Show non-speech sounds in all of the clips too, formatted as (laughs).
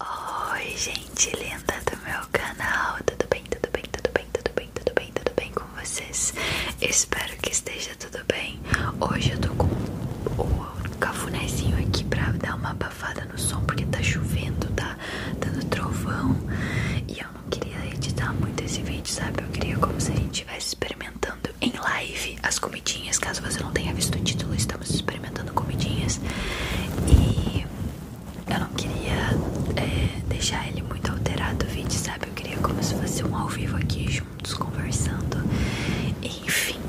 Oi gente linda do meu canal, tudo bem, tudo bem, tudo bem, tudo bem, tudo bem, tudo bem com vocês? Espero que esteja tudo bem. Hoje eu tô com o cafunézinho aqui pra dar uma abafada no som porque tá chovendo, tá dando trovão e eu não queria editar muito esse vídeo, sabe? Eu queria como se a gente estivesse experimentando em live as comidinhas, caso você não tenha visto o título, estamos experimentando comidinhas e eu não queria é, deixar ele muito alterado o vídeo, sabe? Eu queria como se fosse um ao vivo aqui juntos conversando. Enfim,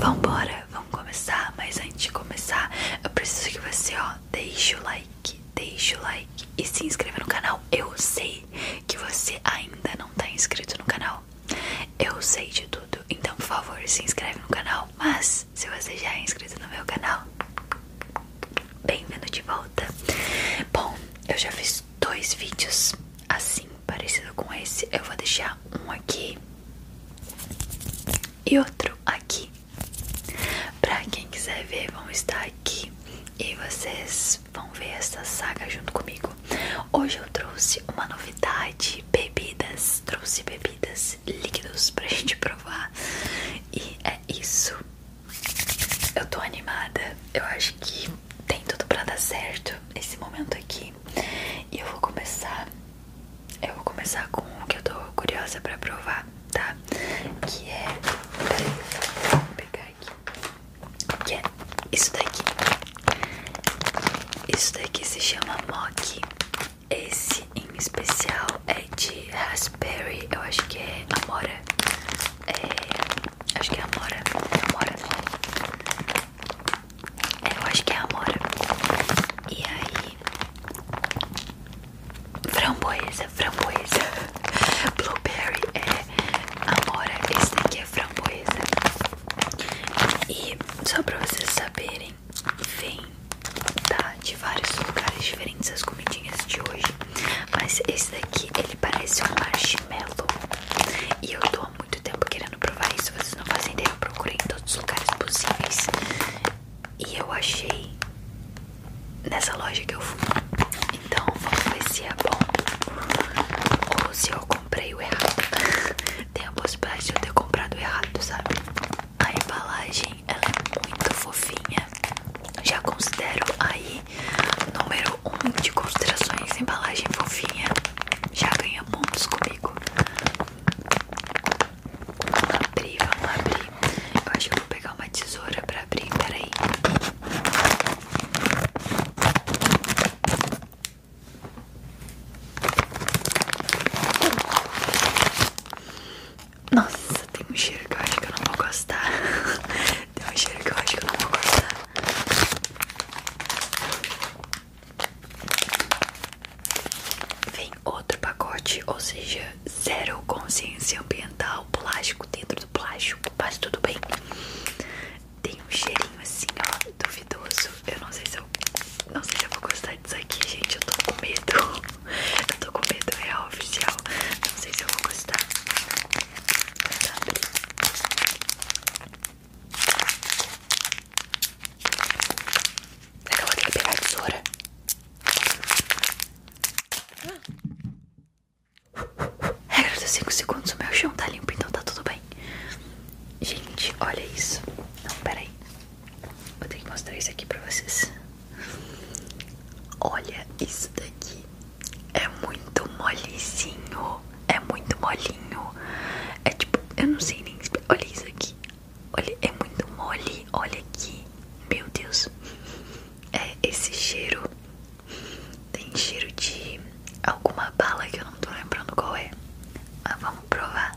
vambora, vamos começar. Mas antes de começar, eu preciso que você, ó, deixe o like, deixe o like e se inscreva no canal. Eu sei que você ainda não tá inscrito no canal. Eu sei de tudo, então por favor se inscreve no canal. Mas se você já é inscrito no meu canal, bem-vindo de volta. Bom, eu já fiz dois vídeos assim, parecido com esse. Eu vou deixar um aqui e outro aqui. Pra quem quiser ver, vão estar aqui e vocês vão ver essa saga junto comigo. Hoje eu trouxe uma novidade: bebidas. Trouxe bebidas mais líquidos pra gente provar. E é isso. Eu tô animada. Eu acho que tem tudo pra dar certo esse momento aqui. E eu vou começar. Eu vou começar com o que eu tô curiosa pra provar, tá? Que é. Peraí, vou pegar aqui. Que é isso daqui. Isso daqui se chama mock. Esse em especial é de raspberry, eu acho que é amora. É, acho que é amora. É amora. É, eu acho que é amora. E aí framboesa, framboesa. (laughs) Blueberry é amora. Esse daqui é framboesa. E só pra vocês saberem vem, De vários lugares diferentes as comidinhas de hoje. Mas esse daqui, ele parece um marshmallow. E eu tô há muito tempo querendo provar isso. Vocês não fazem ideia, eu procurei em todos os lugares possíveis. E eu achei nessa loja que eu fui. Então vamos ver se é bom. Ou se eu comprei o errado. (laughs) Tem a possibilidade de eu ter comprado errado, sabe? A embalagem é muito fofinha. Já considero aí número 1 um de considerações embalagem fofinha. Já ganha muitos comigo. Vamos abrir, vamos abrir. Eu acho que vou pegar uma tesoura pra abrir. Peraí. Nossa, tem um cheiro que eu acho que eu não vou gostar. (laughs) Tem um cheiro que eu acho que eu não vou gostar. Vem outro pacote, ou seja, zero consciência ambiental, plástico dentro do plástico, mas tudo bem. Tem um cheirinho assim, ó, duvidoso. Eu não sei se não sei se eu vou gostar disso aqui, gente. Eu tô com medo. (laughs) Eu tô com medo real oficial. Não sei se eu vou gostar. Vai acabar Acabou de pegar a tesoura. Regra dos 5 segundos, o meu chão tá limpo, então tá tudo bem. Gente, olha isso. Não, peraí. Vou ter que mostrar isso aqui pra vocês. Olha isso daqui. É muito molezinho. É muito molinho. É tipo, eu não sei nem explicar. Olha isso aqui. Olha, é muito mole. Olha aqui. Meu Deus. É esse cheiro. Tem cheiro de alguma bala que eu não tô lembrando qual é. Mas vamos provar.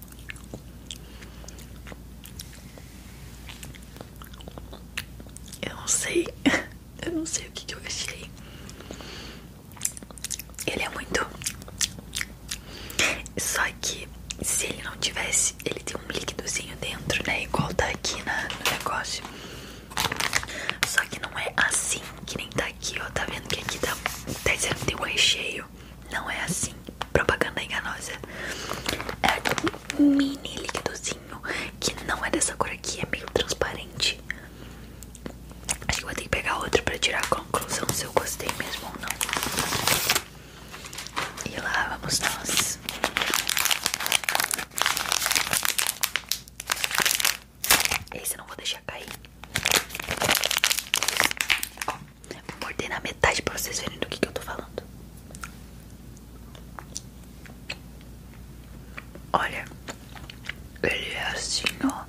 Eu não sei, (laughs) eu não sei o que, que eu achei. Ele é muito. Só que se ele não tivesse, ele tem um líquidozinho dentro, né? Igual tá aqui na, no negócio. Só que não é assim que nem tá aqui, ó. Tá vendo que aqui tá, tá dizendo que tem um recheio não é assim. Propaganda enganosa. É um mini líquidozinho que não é dessa cor aqui, é meio transparente. Acho que vou ter que pegar outro pra tirar a conclusão se eu gostei mesmo ou não. E lá vamos nós. Esse eu não vou deixar cair. Ó, Vou morder na metade pra vocês verem do que, que eu tô falando. Olha, ele é assim, ó.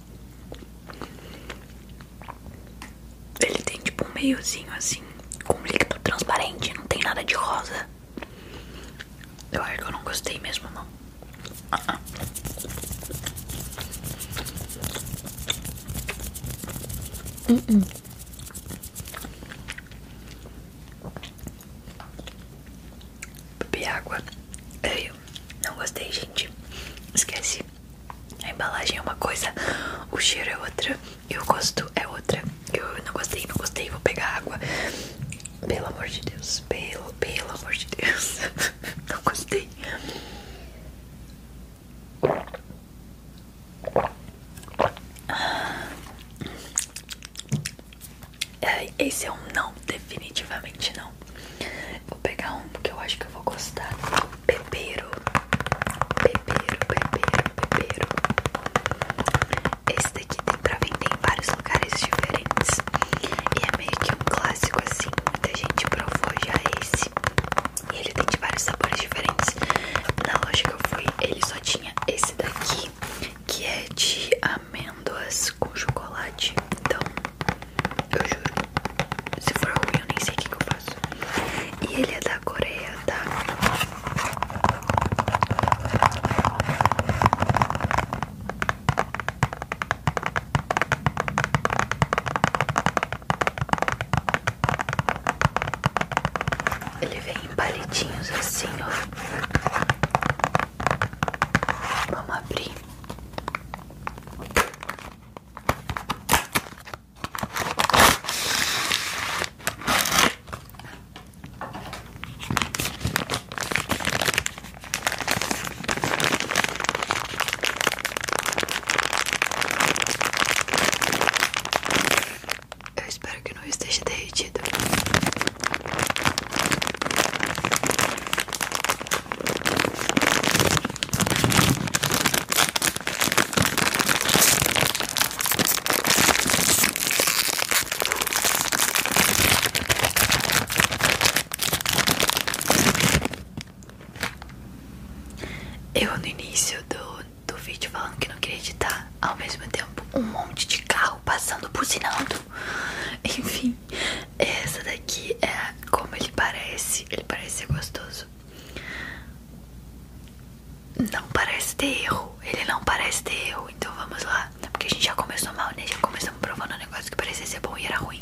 Ele tem tipo um meiozinho assim, com líquido transparente, não tem nada de rosa. Eu acho que eu não gostei mesmo, não. Uh -uh. Uh -uh. Bebi água. Eu não gostei, gente. Esquece. A embalagem é uma coisa, o cheiro é outra e o gosto é outra. Eu não gostei, não gostei. Vou pegar água. Pelo amor de Deus. Pelo, pelo amor de Deus. (laughs) não gostei. É, esse é um não, definitivamente não. Vou pegar um que eu acho que eu vou gostar. Pepeiro. Pepeiro, pepeiro, pepeiro. Esse daqui tem pra vender em vários lugares diferentes. E é meio que um clássico assim. Muita gente provou já esse. E ele tem vários sabores diferentes. Na loja que eu fui, ele só tinha esse daqui, que é de amêndoas com chocolate. Então, eu juro, se for ruim eu nem sei o que, que eu faço. E ele é da Coreia, tá? Ele vem em palitinhos assim, ó. Vamos abrir. Eu espero que não esteja derretido. Eu no início do do vídeo falando que não queria editar, ao mesmo tempo um monte de carro passando, buzinando. (laughs) Enfim, essa daqui é como ele parece. Ele parece ser gostoso. Não parece ter erro. Ele não parece ter erro. Então vamos lá. É porque a gente já começou mal, né? Já começamos provando um negócio que parecia ser bom e era ruim.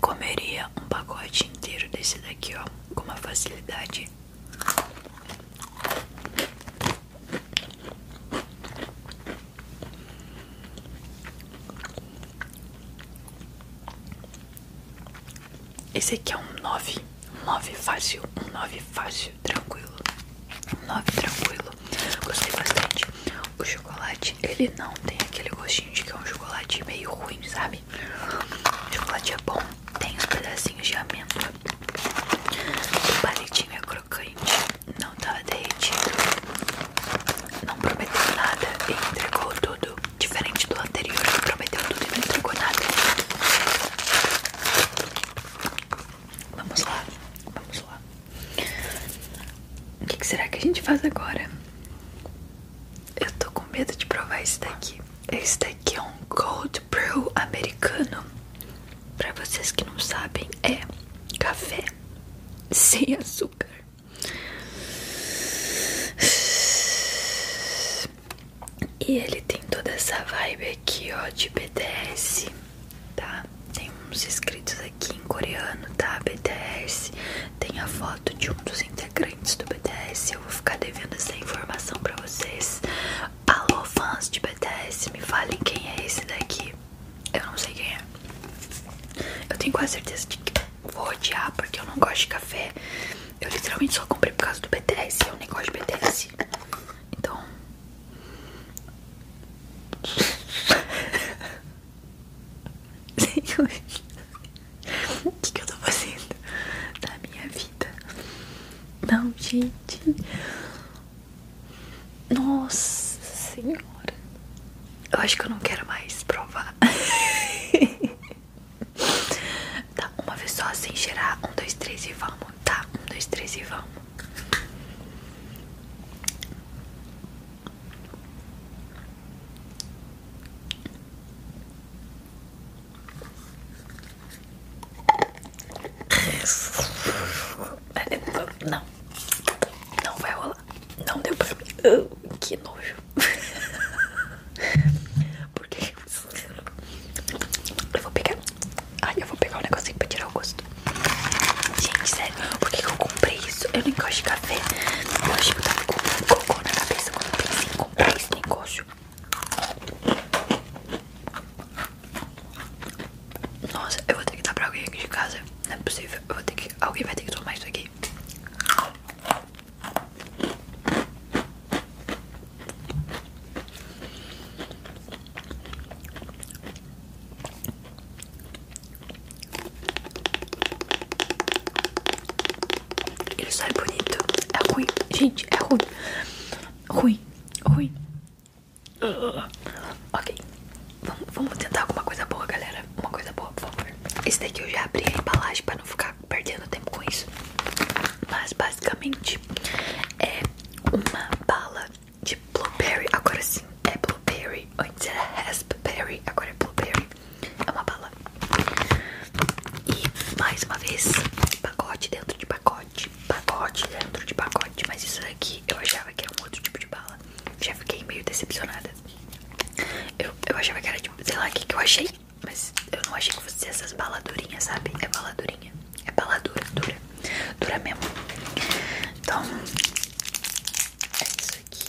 Comeria um pacote inteiro desse daqui, ó, com uma facilidade. Esse aqui é um 9, um 9 fácil, um 9 fácil, tranquilo, um 9 tranquilo. Gostei bastante. O chocolate, ele não tem aquele gostinho de que é um chocolate meio ruim, sabe? O chocolate é bom, tem os pedacinhos de amêndoa. O palitinho é crocante, não tava tá derretido não prometeu nada e entregou tudo, diferente do anterior que prometeu tudo e não entregou nada. Vamos lá, vamos lá. O que, será que a gente faz agora? Eu tô com medo de provar esse daqui. Esse daqui é um cold brew americano. Para vocês que não sabem, é café (laughs) sem açúcar. E ele tem toda essa vibe aqui, ó, de BTS, tá? Tem uns escritos aqui em coreano, tá? BTS. Tem a foto de um dos integrantes do BTS. Eu vou ficar devendo essa informação pra vocês. Alô, fãs de BTS, me falem quem é esse daqui. Eu não sei quem é. Eu tenho quase certeza de que vou odiar porque eu não gosto de café. Eu literalmente só comprei por causa do BTS. Eu nem gosto de BTS. Então. Senhor, (laughs) o que, que eu tô fazendo na minha vida? Não, gente. Nossa Senhora. Eu acho que eu não quero mais provar. tá, uma vez só sem gerar Um, dois, três e vamos. Tá, um, dois, três e vamos. Não, não vai rolar. Não deu pra mim. Oh, que nojo. (laughs) Porque eu vou pegar. Ai, eu vou pegar um negocinho pra tirar o gosto. Gente, sério, por que eu comprei isso? Eu não gosto de café. Eu acho que eu tava com cocô na cabeça quando eu pensei em comprar esse negócio. Nossa, eu vou ter que dar pra alguém aqui de casa. Não é possível. Eu vou ter que. Alguém vai ter que tomar isso aqui. Ele só é bonito. É ruim, gente, é ruim. Ruim, ruim. ok, vamos tentar alguma coisa boa, galera uma coisa boa, por favor. Esse daqui eu já abri a embalagem para não ficar perdendo tempo com isso. Mas basicamente é uma bala de blueberry. Agora sim, é blueberry. Antes então era é raspberry, agora é blueberry. É uma bala. E mais uma vez, pacote dentro de pacote. Pacote dentro de pacote. Mas isso daqui eu achava que era um outro tipo de bala. Já fiquei meio decepcionada. Eu, achei achava que era tipo, sei lá o que, eu achei. Mas eu não achei que fosse essas baladurinhas, sabe? É baladurinha. É baladura, dura. Dura mesmo. Então, é isso aqui.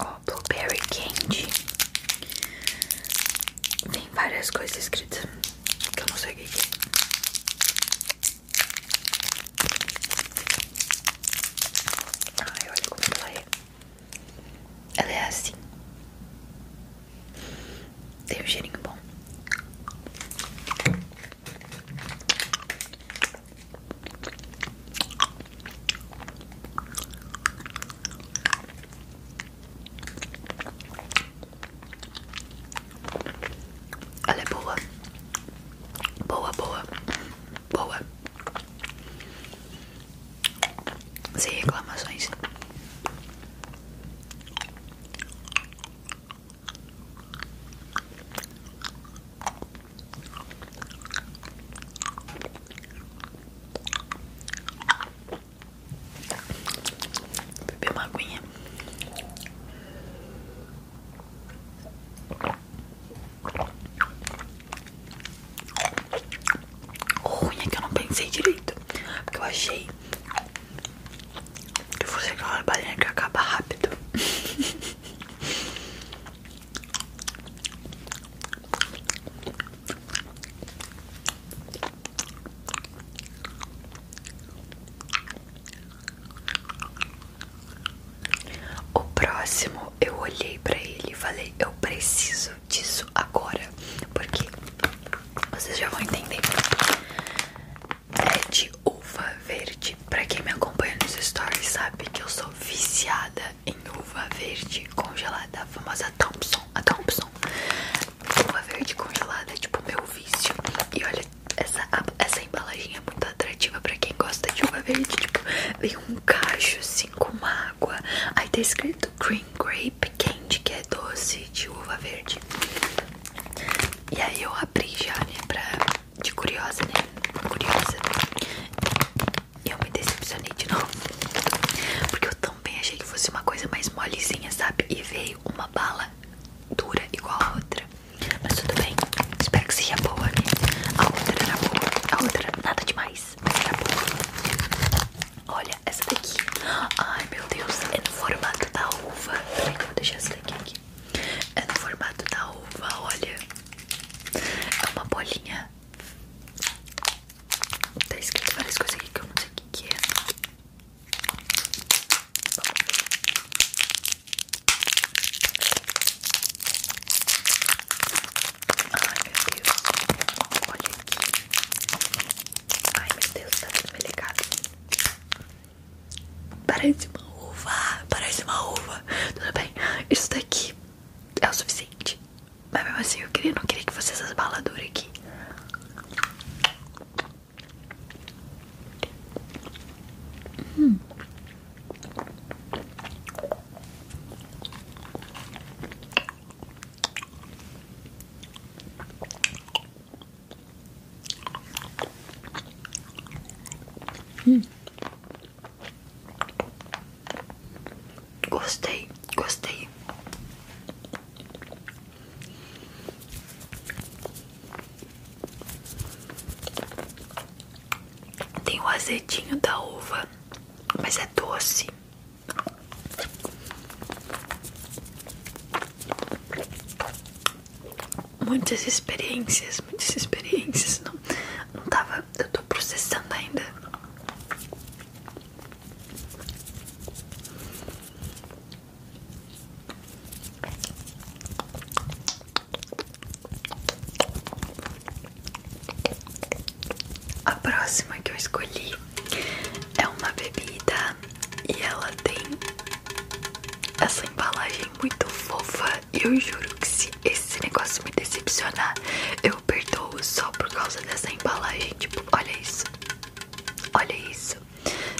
Ó, Blueberry Candy. Tem várias coisas escritas que eu não sei o que é. Ai, olha como ela é. Ela é assim. Tem um cheirinho bom. Ela é boa. Boa, boa. Boa. Sem reclamações. Beber uma aguinha. ruim é que eu não pensei direito. Porque eu achei que fosse aquela balinha que acaba rápido. O próximo eu olhei para ele e falei: Eu preciso disso agora, porque vocês já vão entender. É de uva verde. Pra quem me acompanha nos stories sabe que eu sou viciada em uva verde congelada, a famosa Thompson. Thompson uva verde congelada é tipo meu vício. E olha, essa, essa é muito atrativa pra quem gosta de uva verde. Tipo, vem um cacho cinco assim, com água. Aí tá escrito Green Grape Candy, que é doce de uva verde. E aí eu abri já, né? Pra, de curiosa, né? Curiosa. E eu me decepcionei de novo. Porque eu tô também achei que fosse uma coisa mais molezinha, sabe? E veio uma bala dura igual a outra. Mas tudo bem, espero que seja boa, né? A outra era boa, a outra nada demais, mas era boa. Olha, essa daqui. Ai meu Deus, é no formato da uva. Peraí, vou deixar essa daqui aqui. É no formato da uva, olha. É uma bolinha. Tá escrito várias coisas aqui que eu não sei o que é. Ai meu Deus, olha aqui. Ai meu Deus, tá tudo delicado. Parece uma uva, parece uma uva. Tudo bem, isso daqui é o suficiente. Mas mesmo assim, eu queria, não queria que fosse essas baladuras aqui. うんうんゴステイゴステイ Tem o azedinho da uva, mas é doce. Muitas experiências, muitas experiências. Não, não tava. Eu tô processando ainda. A próxima que eu escolhi é uma bebida e ela tem essa embalagem muito fofa. E eu juro que se esse negócio me decepcionar, eu perdoo só por causa dessa embalagem. Tipo, olha isso, olha isso.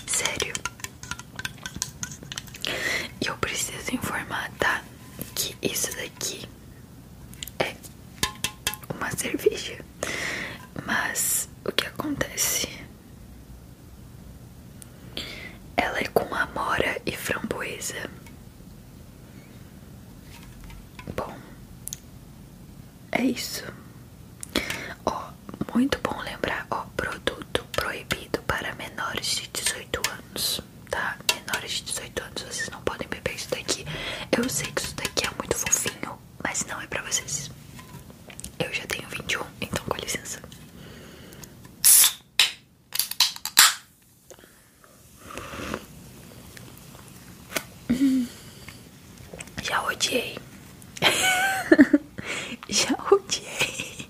Sério. eu preciso informar, tá? Que isso daqui é uma cerveja. Mas o que acontece? Ela é com amora e framboesa. Bom, é isso. Ó, muito bom lembrar, ó, produto proibido para menores de 18 anos, tá? Menores de 18 anos, vocês não podem beber isso daqui. Eu sei que isso daqui é muito fofinho, mas não é pra vocês. Eu já tenho 21, então com licença. Já odiei. (laughs) Já odiei.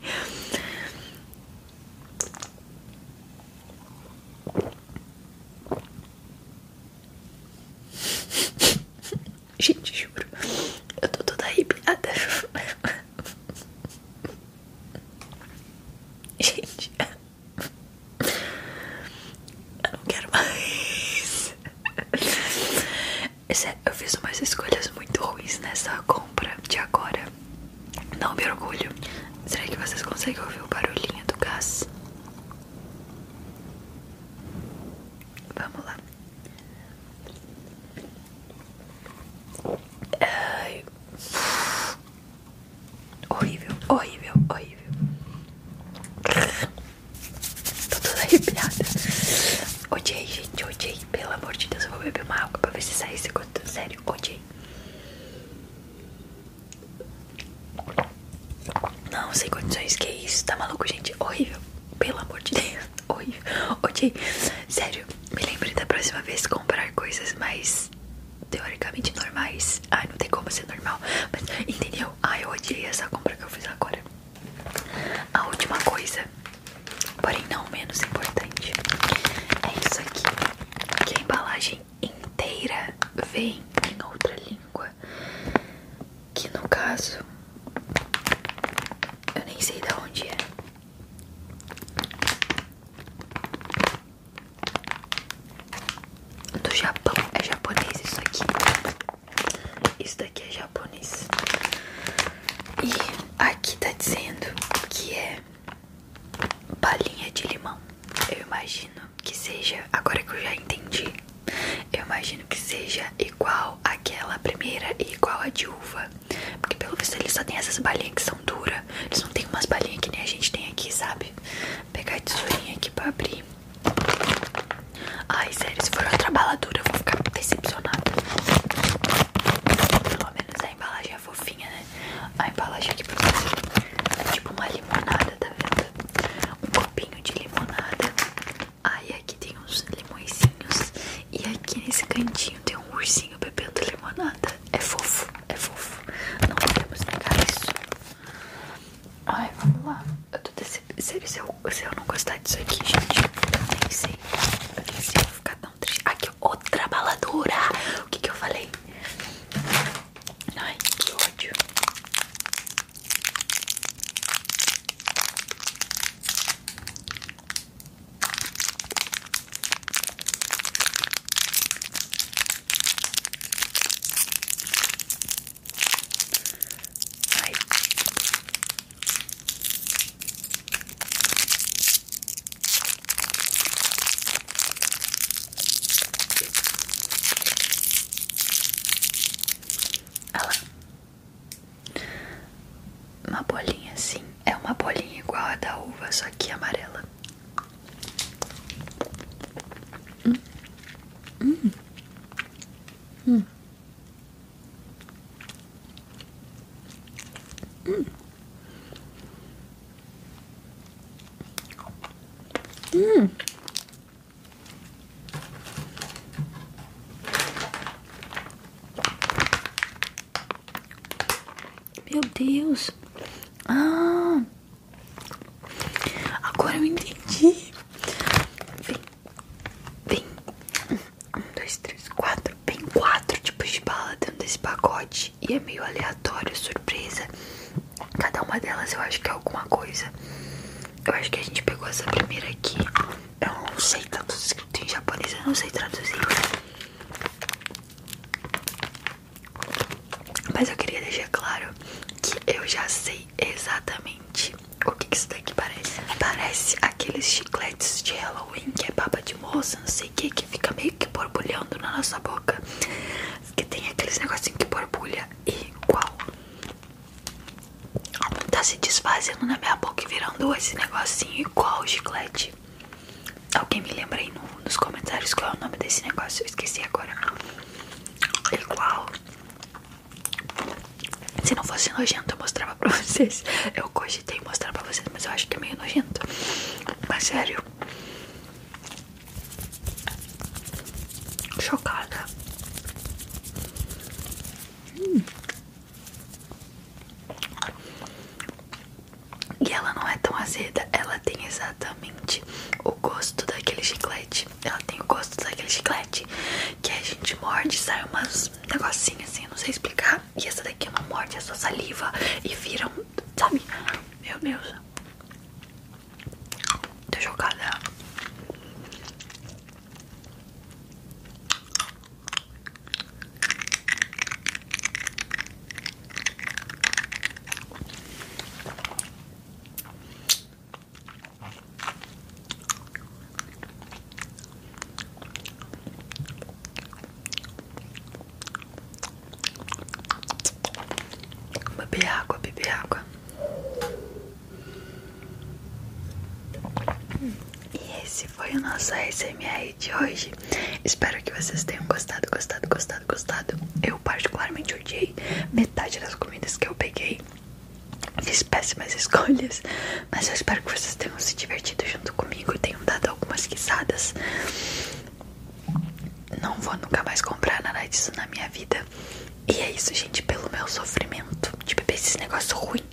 Gente, juro. Eu tô toda arrepiada. Gente. Eu não quero mais. É eu fiz umas escolhas muito ruins nessa compra de agora. Não me orgulho. Será que vocês conseguem ouvir o barulhinho do gás? Vamos lá. Ai. Horrível, horrível, horrível. Tô toda arrepiada. Odiei, gente, odiei. Pelo amor de Deus, eu vou beber uma água pra ver se sai esse gosto. Sério, odiei. Não, sem condições, que isso? Tá maluco, gente? Horrível. Pelo amor de Deus, (laughs) horrível. Odiei. Sério, me lembre da próxima vez comprar coisas mais teoricamente normais. Ai, não tem como ser normal. Mas entendeu? Ai, eu odiei essa compra que eu fiz agora. A última coisa, porém não menos importante, é isso aqui, que a embalagem inteira vem em outra língua, que no caso eu nem sei de onde é. Do Japão, é japonês isso aqui. Isso daqui é japonês. E aqui tá dizendo que é balinha de limão. Eu imagino que seja, agora que eu já entendi, eu imagino que seja igual àquela primeira e igual à de uva. Porque pelo visto eles só tem essas balinhas que são duras. Eles não tem umas balinhas que nem a gente tem aqui, sabe? pegar a tesourinha aqui pra abrir. Ai, sério, se for outra baladura eu vou ficar decepcionada. Pelo menos a embalagem é fofinha, né? A embalagem aqui pra é tipo uma limonada, tá vendo? Um copinho de limonada. Aí aqui tem uns limõezinhos. E aqui nesse cantinho tem um ursinho bebendo limonada. É fofo, é fofo. Não podemos negar isso. Ai, vamos lá. Eu tô decep... se, eu, se eu não gostar disso aqui, gente, eu nem sei. Eu nem eu vou ficar tão triste. Aqui, outra baladura. O que que eu falei? Ai, que ódio. Ai. Olha Uma bolinha assim. É uma bolinha igual a da uva, só que amarela. Hum. Hum. Hum. Hum. Hum. Meu Deus. Ah. Agora eu entendi. Vem um, dois, três, quatro. Vem quatro tipos de bala dentro desse pacote. E é meio aleatório, surpresa. Cada uma delas eu acho que é alguma coisa. Eu acho que a gente pegou essa primeira aqui. Eu não sei tanto escrito em japonês, eu não sei traduzir. Mas eu queria deixar claro que eu já sei exatamente o que, que isso daqui parece. Parece aqueles chicletes de Halloween que é baba de moça, não sei o que, que fica meio que borbulhando na nossa boca. Que tem aqueles negocinhos que borbulha igual. Tá se desfazendo na minha boca e virando esse negocinho igual chiclete. Alguém me lembra aí nos comentários qual é o nome desse negócio? Eu esqueci agora. Igual se não fosse nojento eu mostrava pra (laughs) vocês Eu cogitei mostrar pra vocês Mas eu acho que é meio nojento Mas sério Chocada E ela não é tão azeda Ela tem exatamente o gosto daquele chiclete ela tem o gosto daquele chiclete que a gente morde e sai umas negocinhas assim, não sei explicar. E essa daqui não é morde, é só saliva e viram Sabe? Meu Deus. Tô chocada. Beber água, beber água. E esse foi o nosso SMR de hoje. Espero que vocês tenham gostado, gostado, gostado, gostado. Eu particularmente odiei metade das comidas que eu peguei. Fiz péssimas (laughs) escolhas, mas eu espero que vocês tenham se divertido junto comigo tenham dado algumas risadas. Não vou nunca mais comprar nada disso na minha vida. E é isso, gente, pelo meu sofrimento de beber esses negócios ruim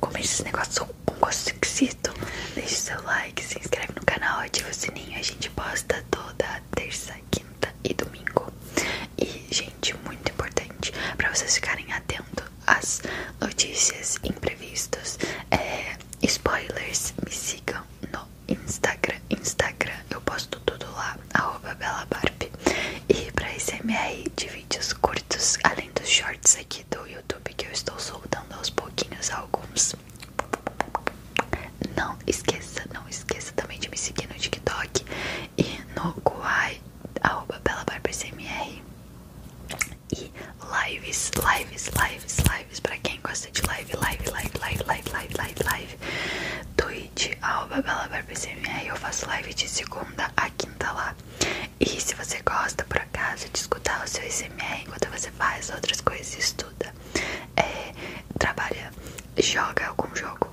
comer esses negócios com gosto esquisito. Deixe seu like, se inscreve no canal, ativa o sininho. A gente posta toda terça, quinta e domingo. E, gente, muito importante para vocês ficarem atentos às notícias imprevistos, é, spoilers. Me sigam no Instagram. Instagram eu posto tudo lá, belabarb. E pra SMR de vídeos curtos, além dos shorts aqui do YouTube que eu estou soltando aos pouquinhos alguns. Não esqueça, não esqueça também de me seguir no TikTok e no Kuai arroba Bela BarbaCMR e lives, lives, lives, lives pra quem gosta de live, live, live, live, live, live, live, live Twitch, arroba Bela BarbaCMR eu faço live de segunda a quinta lá e se você gosta por acaso de escutar o seu SMR enquanto você faz outras coisas, estuda é, trabalha, joga algum jogo